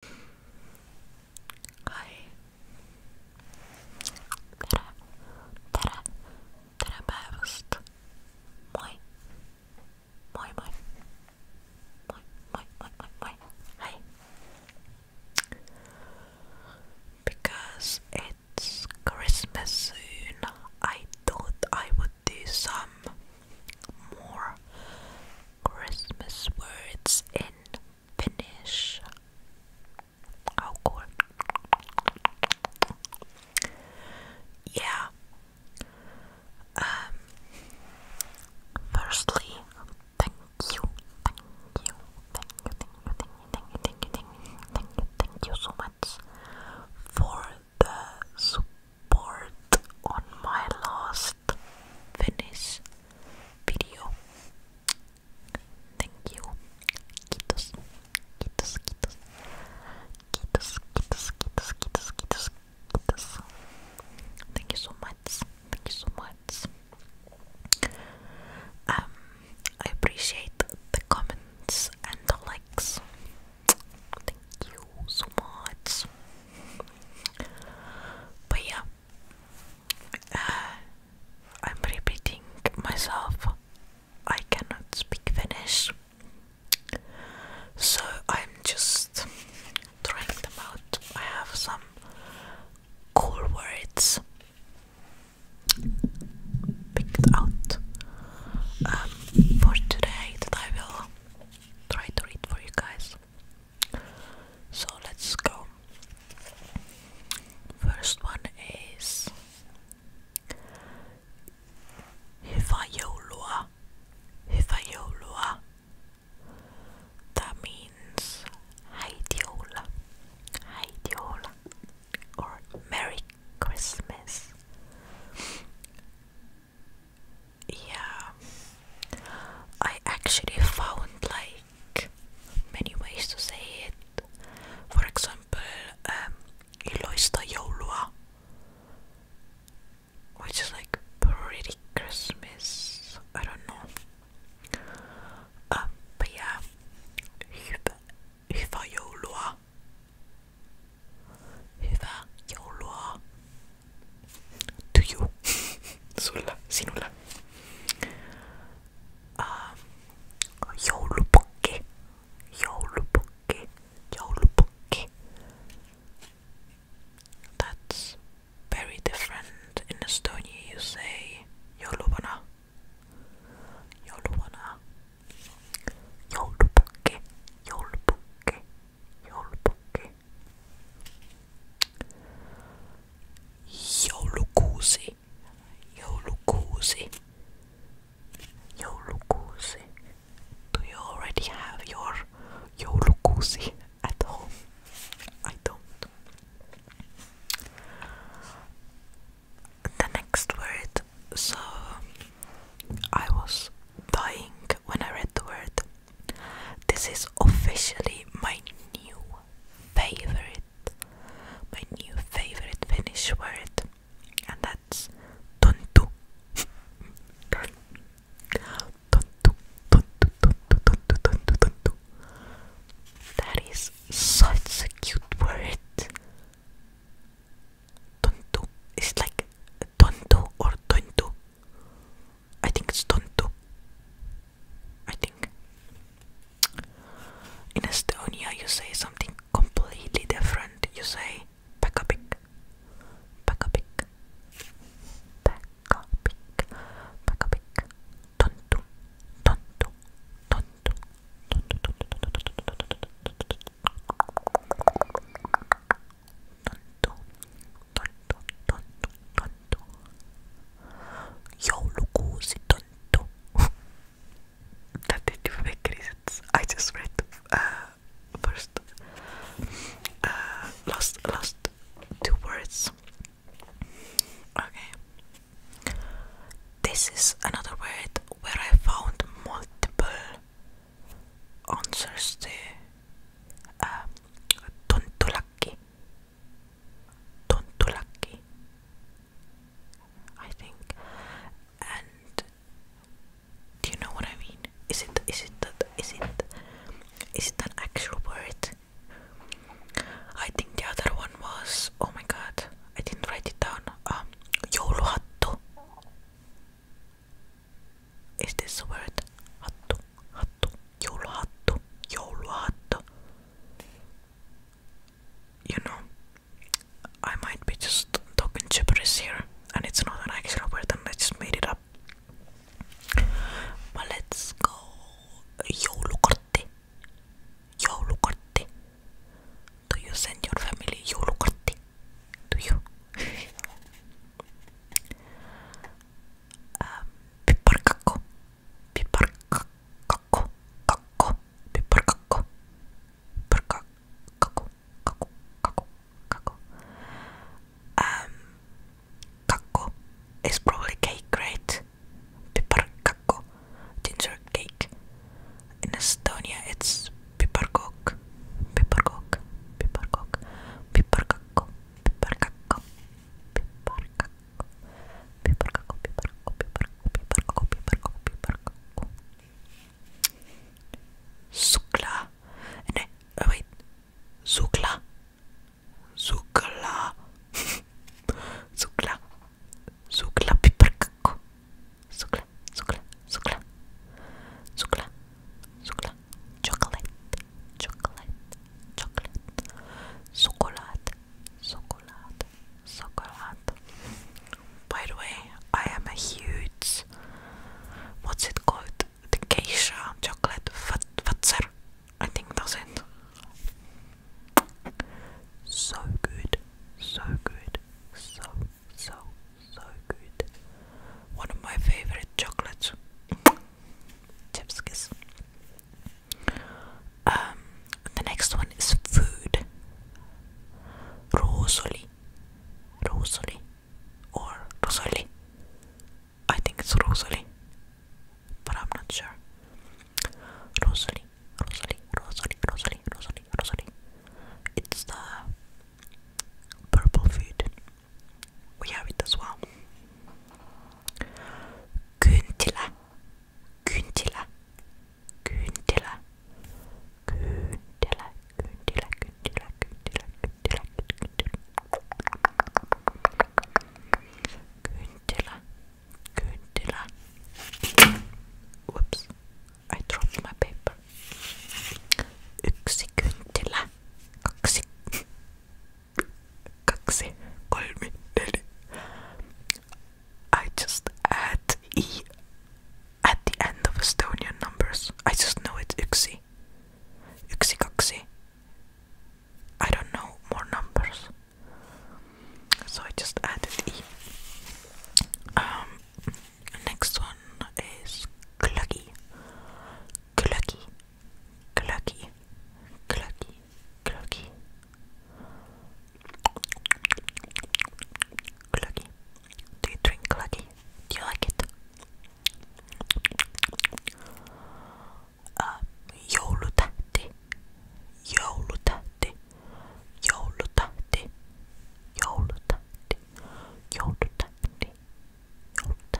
Hai Tere, tere, tere päevast Moi Moi moi Moi, moi, moi, moi, moi Because it's Christmas soon I thought I would do some more Christmas words in Finnish. How cool! Yeah. Um, firstly, thank you, thank you, thank you, thank you, thank you, thank you, thank you, thank you, thank you, thank you so much for this bored on my last Venice video. Thank you. Thank you so much. Thank you so much. Um, I appreciate the comments and the likes. Thank you so much. But yeah, uh, I'm repeating myself. I cannot speak Finnish, so I'm just trying them out. I have some cool words picked out um, for today that I will try to read for you guys. So let's go. First one is Hifayolua. Hifayolua. That means Haidiola. Haidiola. Or Merry Christmas yeah, I actually found like many ways to say it. For example, um, iloista joulua, which is like pretty Christmas. I don't know. Um, hyvä joulua hyvä joulua to you sulla, sinulla uh, joulupukki joulupukki joulupukki that's very different in Estonia you say jouluvana jouluvana joulupukki joulupukki Joulupukki. Joulukuusi. Joulukuusi. Joulukuusi. Do you already have your joulukuusi at home? I don't. The next word, so I was dying when I read the word. This is officially my new favorite, my new favorite Finnish word, and that's tuntu. tuntu, tuntu, tuntu, tuntu, tuntu, tuntu. That is such a cute word. Tonto. It's like tonto or tonto. I think it's tonto. I think. In Estonia, you say something completely different. You say pakapik, pakapik, pakapik, pakapik, tonto, tonto, tonto, tonto, tonto, tonto, tonto, tonto, tonto, tonto, tonto, tonto, tonto. Yo look who's tonto. that didn't make sense. I just read the uh, first uh, Lost, last two words. Okay. This is another word where I found multiple on Thursday, uh, eh, Tontolaki. Tontolaki, I think. And do you know what I mean? Is it is it that is it is it an actual word? I think the other one was oh my god, I didn't write it down. Um, jouluhattu. Is this a word? Hattu, hattu, jouluhattu, jouluhattu. You know, I might be just talking gibberish here, and it's not an actual word, and I just made it up. But let's go. Joulukortti, joulukortti do you send your family yolo karate? Do you? Um, pepper kakko, pepper kakko, kakko, pepper pepper kakko, kakko, kakko, kakko. Um, kakko probably cake, right? Pepper kakko ginger cake. In Estonia, it's piparkok, piparkok, piparkok, piparkakko, piparkakko, piparkakko, piparkakko, piparkakko, piparkakko, piparkakko, piparkakko. Sukla, no, wait, sukla, sukla, sukla. Sukla piperkako. Sukla, sukla, sukla. Sukla, sukla. Chocolate, chocolate, chocolate. Chocolate, chocolate, chocolate. By the way, I am a huge. What's it called? The geisha chocolate. Fatzer. I think that's it. So good, so good, so, so, so good. One of my favorite chocolates. Chips kiss. Um, the next one is food. Rosoli. Rosoli. Or Rosoli. I think it's Rosoli. But I'm not sure. Rosoli. Rosalie, Rosalie, Rosalie, Rosalie, Rosalie. It's the purple food. We have it as well. Kuntila, Kuntila, Kuntila, Kuntila, Kuntila, Kuntila, Kuntila, Kuntila, Kynttilä. Whoops, I dropped my paper. Yksi kynttilä, kaksi, kaksi, kolme, I just add E at the end of Estonian numbers. I just know it yksi. Yksi kaksi. I don't know more numbers so I just added E. Um, next one is clucky, clucky, clucky, clucky, clucky, clucky. Do you drink clucky? Do you like it? ähm, joulutähti, joulutähti, joulutähti, joulutähti, joulutähti, joulutähti.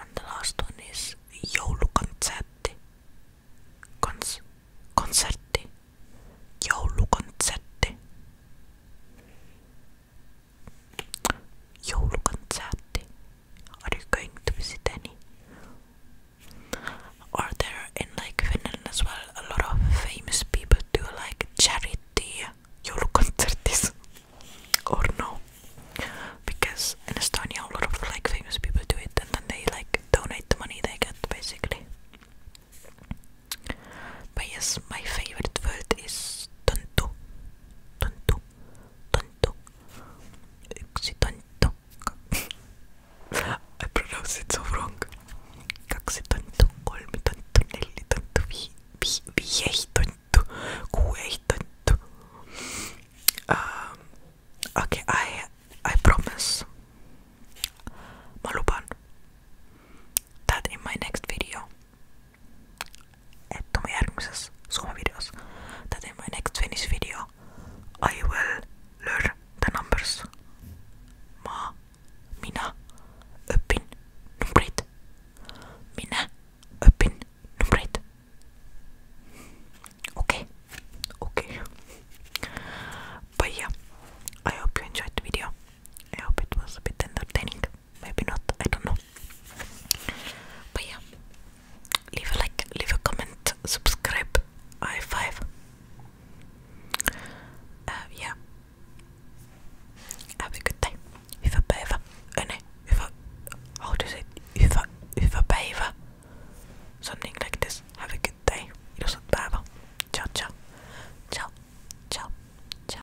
And the last one is joulukonsertti, Kons konsertti, joulukonsertti. Joulukon Saturday. Are you going to visit any? Are there in like Finland as well a lot of famous people do like charity joulukonsertis or no? Because in Estonia a lot of like famous people do it and then they like donate the money they get basically. But yes, my favorite word is tuntu. Tuntu. Tonto. Tonto. I pronounce it so wrong. Kaksi tonto, kolmi tonto, neli tonto, vi, vi, viiei tonto, kuuei tonto. Um, okay, I, I promise. Mä that in my next video etuma järgmises Soome videos that in my next Finnish video I will learn the numbers ma mina õpin numbreid mina õpin numbreid okay okay but yeah I hope you enjoyed the video I hope it was a bit entertaining maybe not, I don't know. But yeah, leave a like, leave a comment, subscribe, high five. Uh, yeah, have a good day. Hyvää päivää. Oh, no, hyvä, how to say it? Hyvä, hyvä päivä. Something like this. Have a good day. Ilosat päivä. Ciao, ciao. Ciao, ciao, ciao.